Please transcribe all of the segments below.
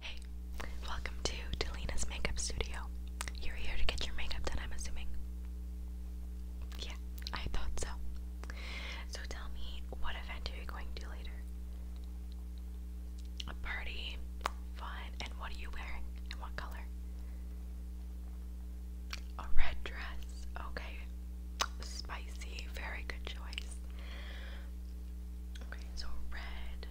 Hey, welcome to Delina's Makeup Studio. You're here to get your makeup done, I'm assuming. Yeah, I thought so. So tell me, what event are you going to later? A party, fun, and what are you wearing? And what color? A red dress. Okay. Spicy, very good choice so red.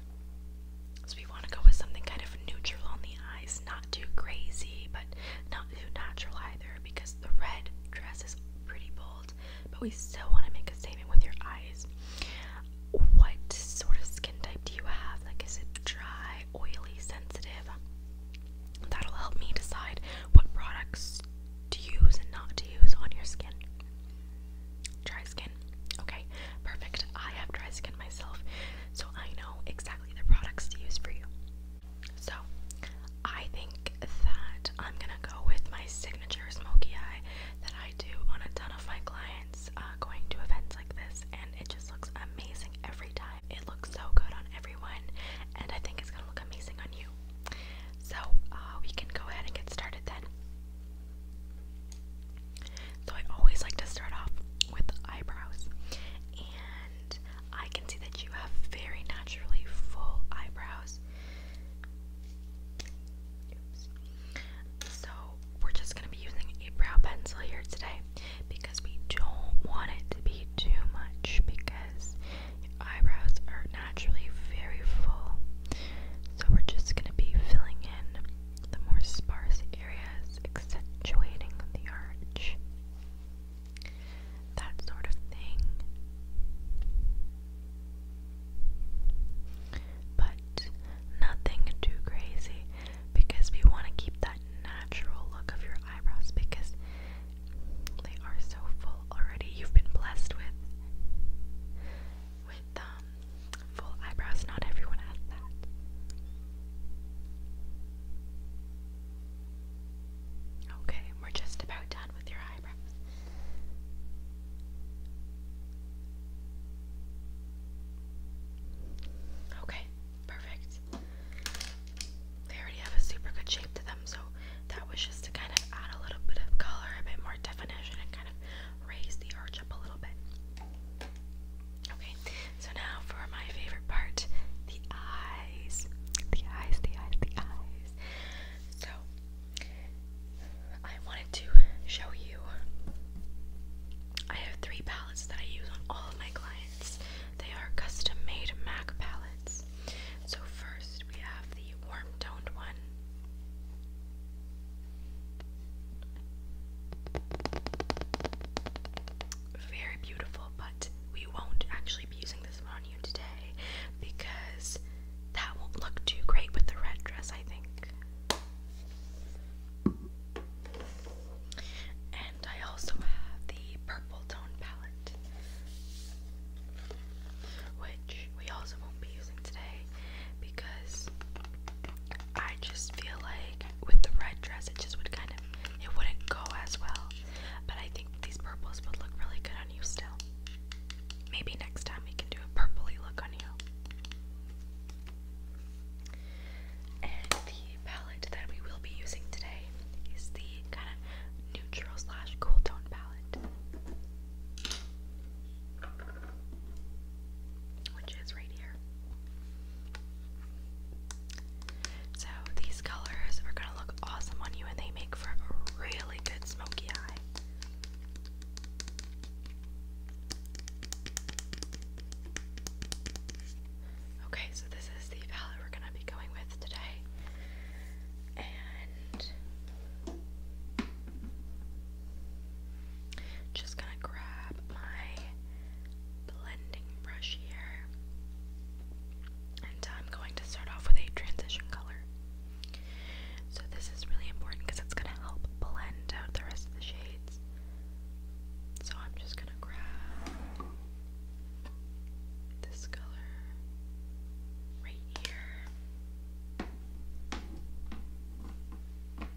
So we want to go with something kind of neutral on the eyes, not too crazy, but not too natural either, because the red dress is pretty bold, but we still want to make a statement with your eyes. What sort of skin type do you have? Like, is it dry, oily, sensitive? That'll help me decide what products to use and not to use on your skin. Dry skin. Okay, perfect. I have dry skin myself, so I know exactly the products to use for you. So, I think that I'm gonna go with my signature smoky eye that I do on a ton of my clients uh, going to events like this, and it just looks amazing every time. It looks so good on everyone, and I think it's gonna look amazing on you. So, uh, we can go ahead and get started then. So I always like to start off with eyebrows. And I can see that you have very naturally full eyebrows. So we're just going to be using a brow pencil here today because we don't want it to be too much because your eyebrows are naturally very full. So we're just going to be filling in the more sparse areas, accentuating the arch, that sort of thing. But nothing too crazy because we want to keep that natural look of your eyebrows because they are so full already. You've been blessed with with um full eyebrows. Not everyone has that. Okay, we're just about done with your eyebrows. Okay, perfect. They already have a super good shape to them, so that was just to kind of add a little bit of color, a bit more definition, and kind of raise the arch up a little bit. Okay, so now for my favorite part the eyes. The eyes, the eyes, the eyes. So, I wanted to show you. I have three palettes that I use on all of my clients. They are custom made MAC palettes. So, first we have the warm toned one. Very beautiful, but we won't actually be using this on you today because that won't look too great with the red dress, I think. And I also have the purple tone palette, which we also won't be using today because I just feel like with the red dress it just would kind of it wouldn't go as well. But I think these purples would look really good on you still. Maybe next time we can do a purply look on you. And the palette that we will be using today is the kind of neutral slash cool tone palette which is right here. So these colors are gonna look awesome on you and they make for a really good smoky eye. Okay, so this is the palette we're gonna be going with today. And just gonna grab my blending brush here, and I'm going to start off with a transition color. So, this is really important because it's gonna help blend out the rest of the shades. So, I'm just gonna grab this color right here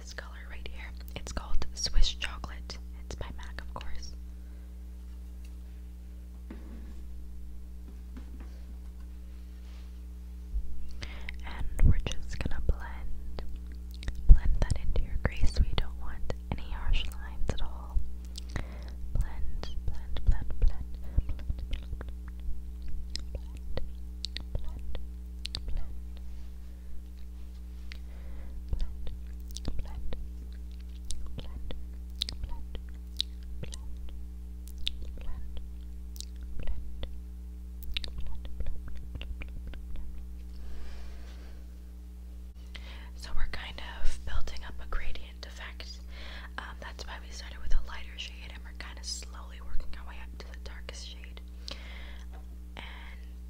this color right here. It's called Swiss Chocolate. It's by MAC, of course. And we're just gonna blend. Blend that into your crease. We don't want any harsh lines at all. Blend, blend, blend, blend, blend, blend, blend, blend, so we're kind of building up a gradient effect. Um, that's why we started with a lighter shade, and we're kind of slowly working our way up to the darkest shade. And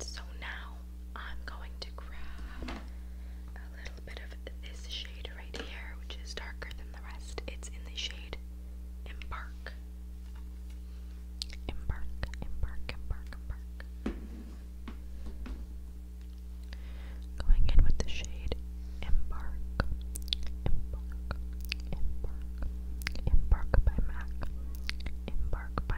so now I'm going to grab a little bit of this shade right here, which is darker than the rest. It's in the shade Embark. Embark, Embark, Embark, Embark. Going in with the shade Embark. Embark, Embark, Embark by MAC. Embark by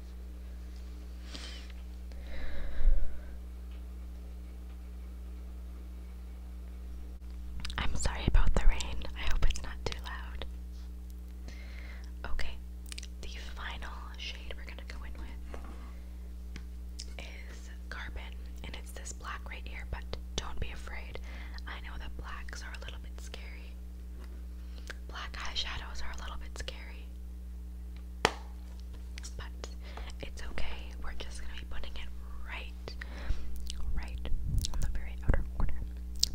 I'm sorry about the rain. I hope it's not too loud. Okay, the final shade we're gonna go in with is Carbon, and it's this black right here, but don't be afraid. I know that blacks are a little bit scary. Black eye shadows are a little bit scary. But it's okay. We're just gonna be putting it right, right on the very outer corner.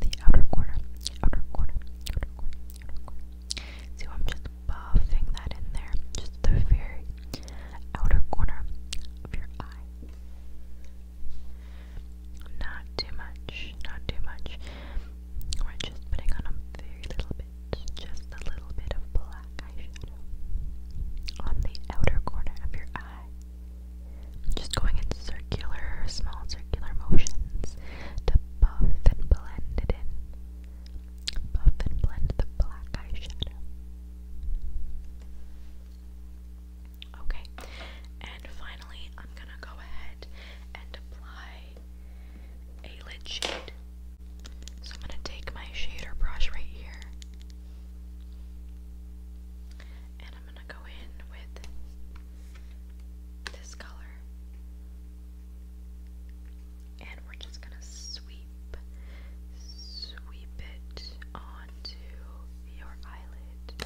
The outer corner, outer corner, outer corner, outer corner. So I'm just buffing that in there. Just the very outer corner of your eye. Not too much, not too much. We're just putting on a very little bit, just a little bit of black eyeshadow on the outer corner of your eye. Just going in circular, small circular motions to buff and blend it in. Buff and blend the black eyeshadow. Okay, and finally, I'm gonna go ahead and apply a lid shade. So I'm going to take my shader brush right here. And I'm going to go in with this color. And we're just going to sweep, sweep it onto your eyelid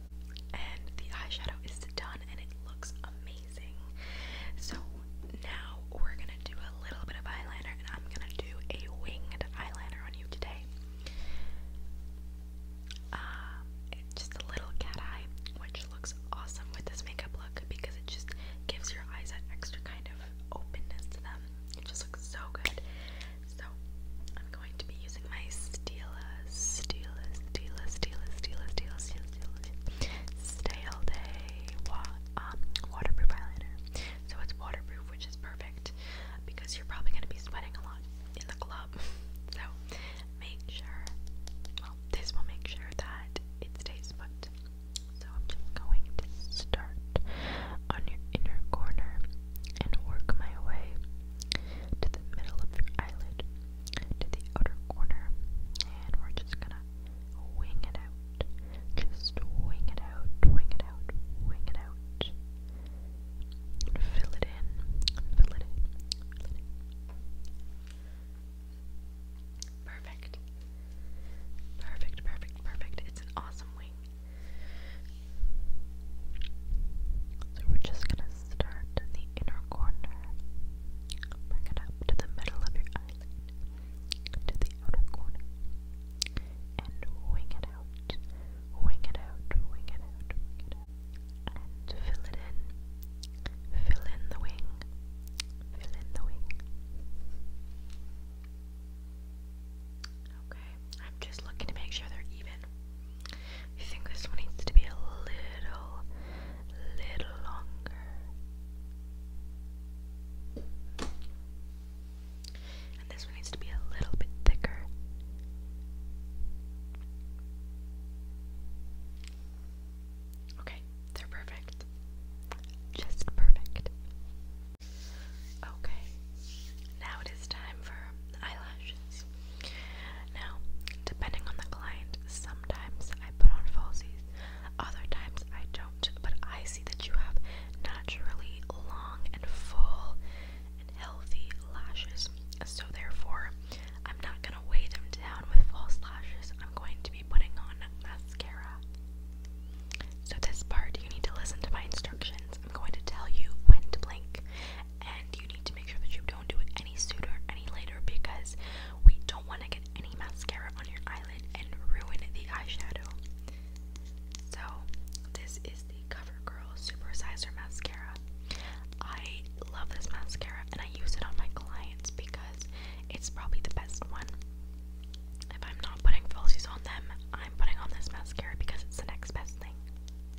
and the eyeshadow is done and it looks amazing. So now we're gonna do a little bit of eyeliner and I'm gonna do a winged eyeliner on you today. Uh, just a little cat eye, which looks awesome with this makeup look because it just gives your eyes that extra kind of openness to them. It just looks so good. So I'm going to be using my Stila, Stila, Stila, Stila, Stila, Stila, Stila, Stila, Stay All Day wa um, Waterproof Eyeliner. So it's waterproof, which is perfect because you're probably going to be sweating a lot in the club. So make sure, well, this will make sure that it stays put. So I'm just going to start on your inner corner and work my way to the middle of your eyelid, to the outer corner, and we're just gonna wing it out. Just wing it out, wing it out, wing it out. Fill it in, fill it in, Perfect. Perfect, perfect, perfect. It's an awesome wing. So we're just gonna start in the inner corner, bring it up to the middle of your eyelid, to the outer corner, and wing it out, wing it out, wing it out, wing it out, and fill it in, fill in the wing, fill in the wing. Okay, I'm just looking to make sure they're even. I think this one needs to be a little, little longer. And this one needs to be a little bit thicker. Okay, they're perfect. Just perfect. Okay, now it is time for eyelashes. Now, depending on the client, sometimes I put on falsies, other times I don't, but I see that you have naturally long and full and healthy lashes, so therefore, I'm not going to weigh them down with false lashes. I'm going to be putting on mascara. So, this part, you need to listen to my instructions. I'm going to tell you when to blink and you need to make sure that you don't do it any sooner any later because we don't want to get any mascara on your eyelid and ruin the eyeshadow. So, this is the CoverGirl Supersizer Mascara. I love this mascara and I use it on my clients because it's probably the best one. If I'm not putting falsies on them, I'm putting on this mascara because it's the next best thing.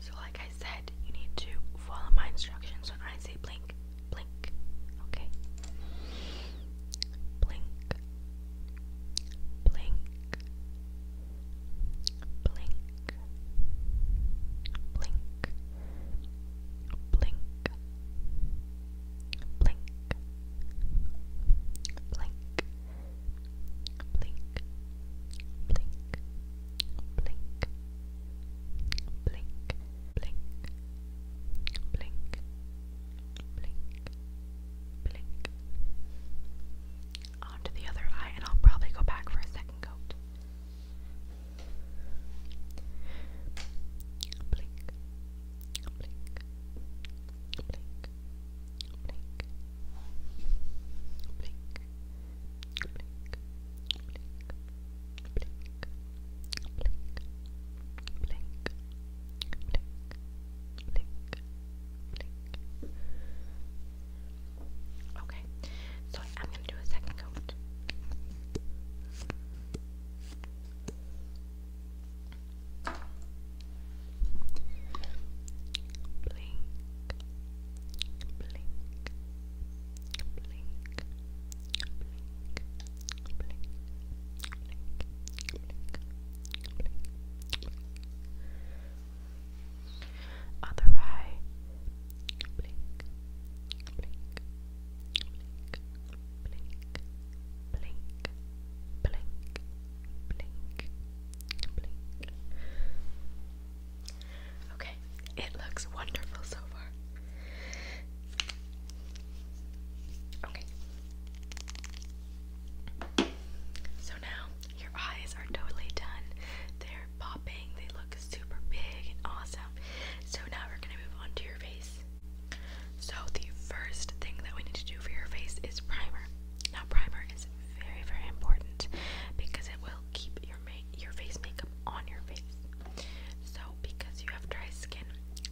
So like I said, you need to follow my instructions when I say blink, blink, okay? Blink, blink, blink, blink, blink, blink, blink blink, blink, blink, blink, blink, blink, blink, blink. On to the other eye, and I'll probably go back for a second coat. blink, blink, blink, blink blink, blink, Okay, so I'm gonna do a second coat blink, blink, blink, blink, blink, other eye, blink, blink, blink, blink, blink, blink, blink, blink. Okay, it looks wonderful so far. Okay. So now your eyes are totally done. They're popping, they look super big and awesome. So now we're going to move on to your face. So the first thing that we need to do for your face is primer. Now primer is very very important because it will keep your make your face makeup on your face. So because you have dry skin,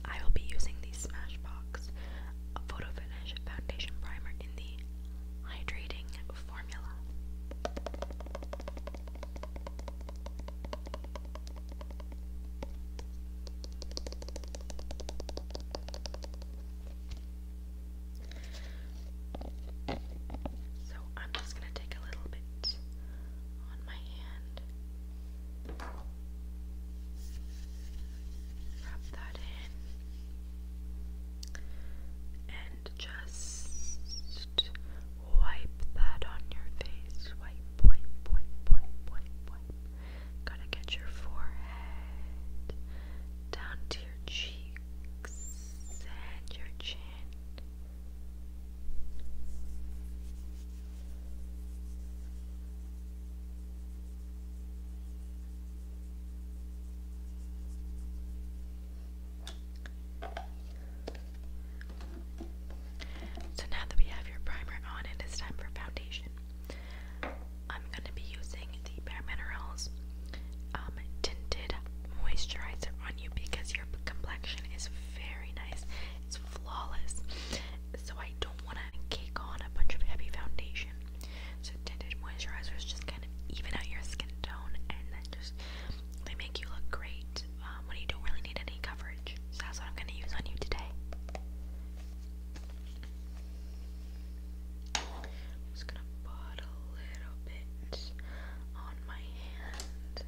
I will be using the Smashbox Photo Finish Foundation Primer in the hydrating formula. So I'm just going to take a little bit on my hand, rub that in, and just wipe that on your face. Wipe, wipe, wipe, wipe, wipe, wipe. to get your forehead down to your cheek. Extend your chin. So now that we have your primer on, it is time for foundation. I'm going to be using the Bare Minerals um, Tinted Moisturizer on you because your complexion is very nice. It's flawless. So I don't want to cake on a bunch of heavy foundation. So tinted moisturizers just kind of even out your skin tone and then just they make you look great um, when you don't really need any coverage. So that's what I'm going to use on you today. I'm just gonna put a little bit on my hand.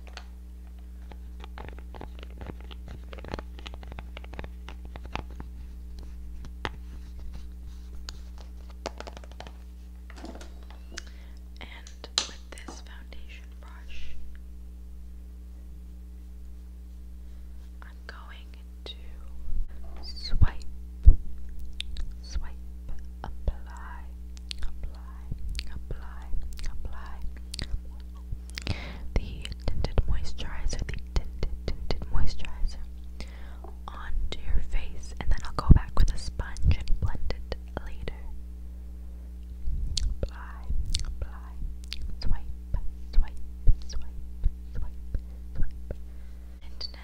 And with this foundation brush, I'm going to swipe, swipe, apply, apply, apply, apply the tinted moisturizer, the tinted, tinted moisturizer onto your face, and then I'll go back with a sponge and blend it later. Apply, apply, swipe, swipe, swipe, swipe, swipe. And now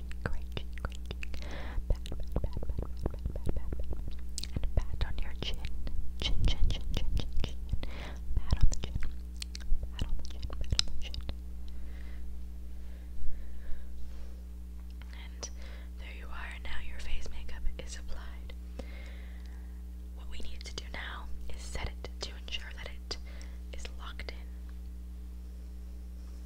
Pat, pat, pat, pat, pat, pat, pat, pat. And pat on your chin. Chin, chin, chin, chin, chin, chin. Pat on the chin. Pat on the chin, pat on the chin. And there you are. Now your face makeup is applied. What we need to do now is set it to ensure that it is locked in.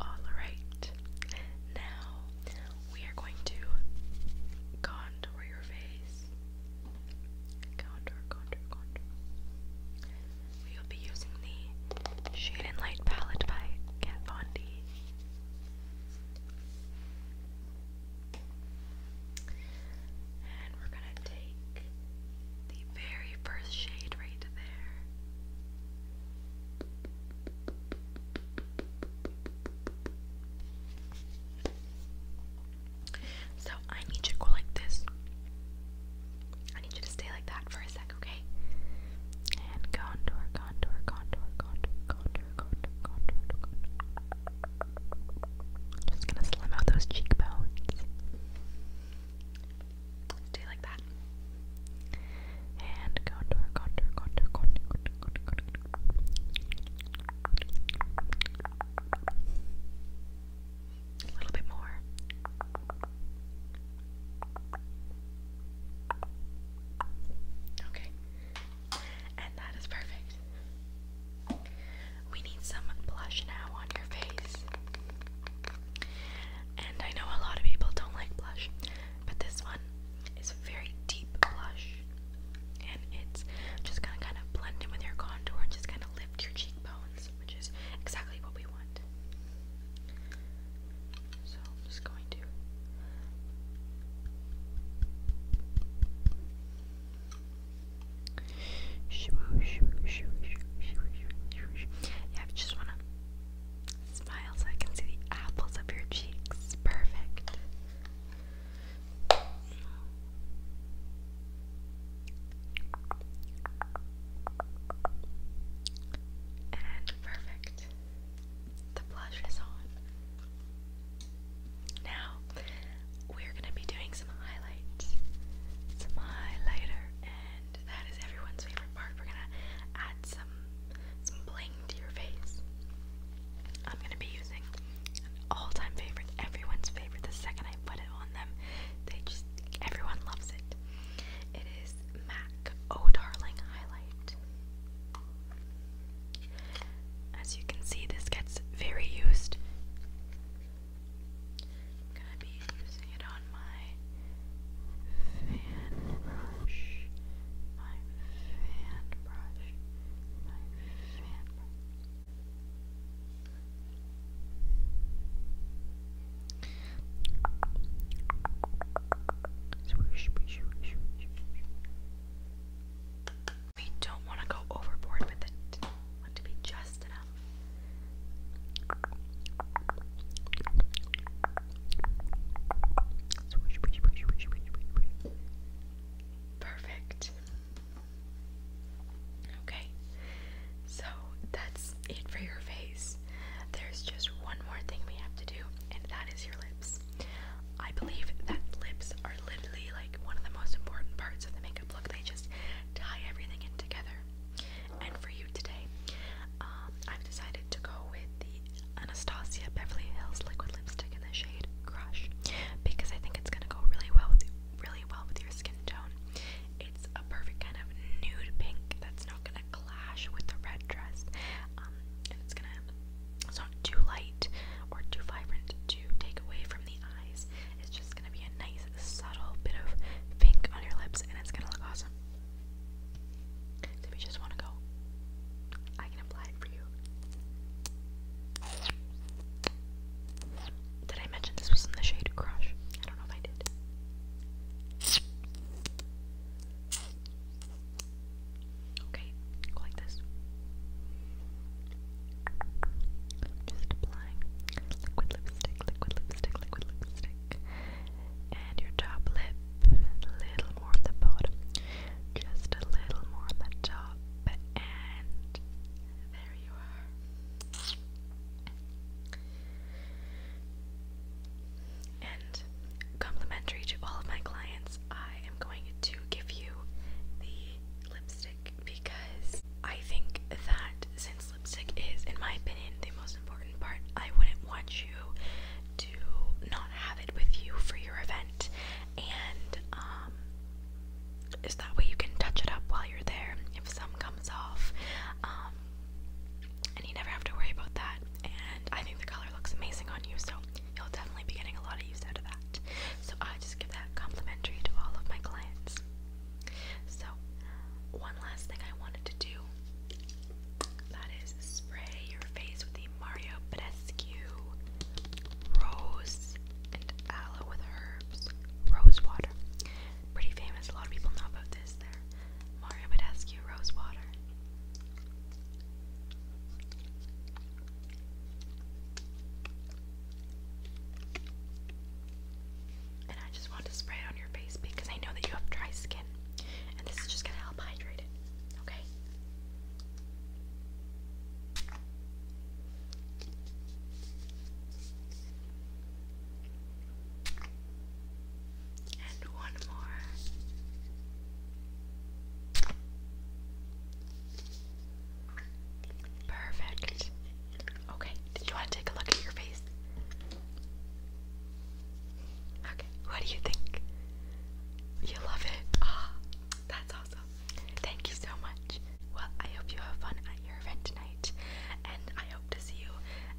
Alright, now we are going to contour your face. Contour, contour, contour. We will be using the Shade and Light palette by Kat Von D. And we're going to take the very first shade right there. So I need you to go like this. I need you to stay like that for a sec, okay? And contour, contour, contour, contour, contour, contour, contour, contour, just gonna slim out those cheekbones. Do like that. And contour, contour, contour, contour, contour, contour, contour. A little bit more. Okay. And that is perfect. We need some blush now on your face. And I know a lot of people don't like blush, but this one is a very deep blush. And it's just gonna kind of blend in with your contour and just kind of lift your cheekbones, which is exactly what we want. So I'm just going to yeah, I just wanna smile so I can see the apples of your cheeks. Perfect. And perfect. The blush is on. Now we're gonna be doing some highlights. Some highlighter and that is everyone's favorite part. We're gonna add some some bling to your face. I'm gonna be using an all-time favorite, everyone's favorite. The second I put it on them, they just everyone loves it. It is MAC Oh Darling Highlight. As you can see, this gets very used. gonna be using it on my fan brush. My fan brush. My fan brush. Swish, swish, swish, swish, swish. We don't want to go overboard with it. We want to be just enough. Perfect. Okay, so that's it for your face. There's just one more thing we have to do, and that is your lips. I believe that lips are literally like one of the most important parts of the makeup look. They just tie everything in together. And for you today, um, I've decided to go with the Anastasia Beverly Hills liquid lipstick in the shade Crush because I think it's gonna go really well with really well with your skin tone. It's a perfect kind of nude pink that's not gonna clash with the red dress. Um, it's not too light or too vibrant to take away from the eyes. It's just gonna be a nice, subtle bit of pink on your lips, and it's gonna look awesome. So if just wanna go, I can apply it for you. Did I mention this was in the shade Crush? I don't know if I did. Okay, like this. Just applying liquid lipstick, liquid lipstick, liquid lipstick. And your top lip, a little more on the bottom, just a little more on the top, and there you are. And complimentary to all of my clients, I am going to give you the lipstick because I think that since lipstick is, in my opinion, the most important part, I wouldn't want you to not have it with you for your event, and um, is that way you can touch it up while you're there if some comes off, um, and you never have to worry about that. And I think the color looks amazing on you, so you'll definitely be getting a lot of use out of that. So I just give that complimentary to all of my clients. So one last thing I wanted to do that is spray your face with the Mario Badescu Rose and Aloe with Herbs Rose Water. Pretty famous, a lot of people know about this there. Mario Badescu Rose Water. And I just want to spray it on your face because I know that you have dry skin. And this is just going to help hydrate it. Okay? And one more. Perfect. Okay, did you want to take a look at your face? Okay, what do you think? You love it. Ah, that's awesome. Thank you so much. Well, I hope you have fun at your event tonight, and I hope to see you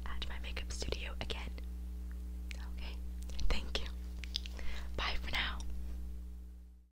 at my makeup studio again. Okay, thank you. Bye for now.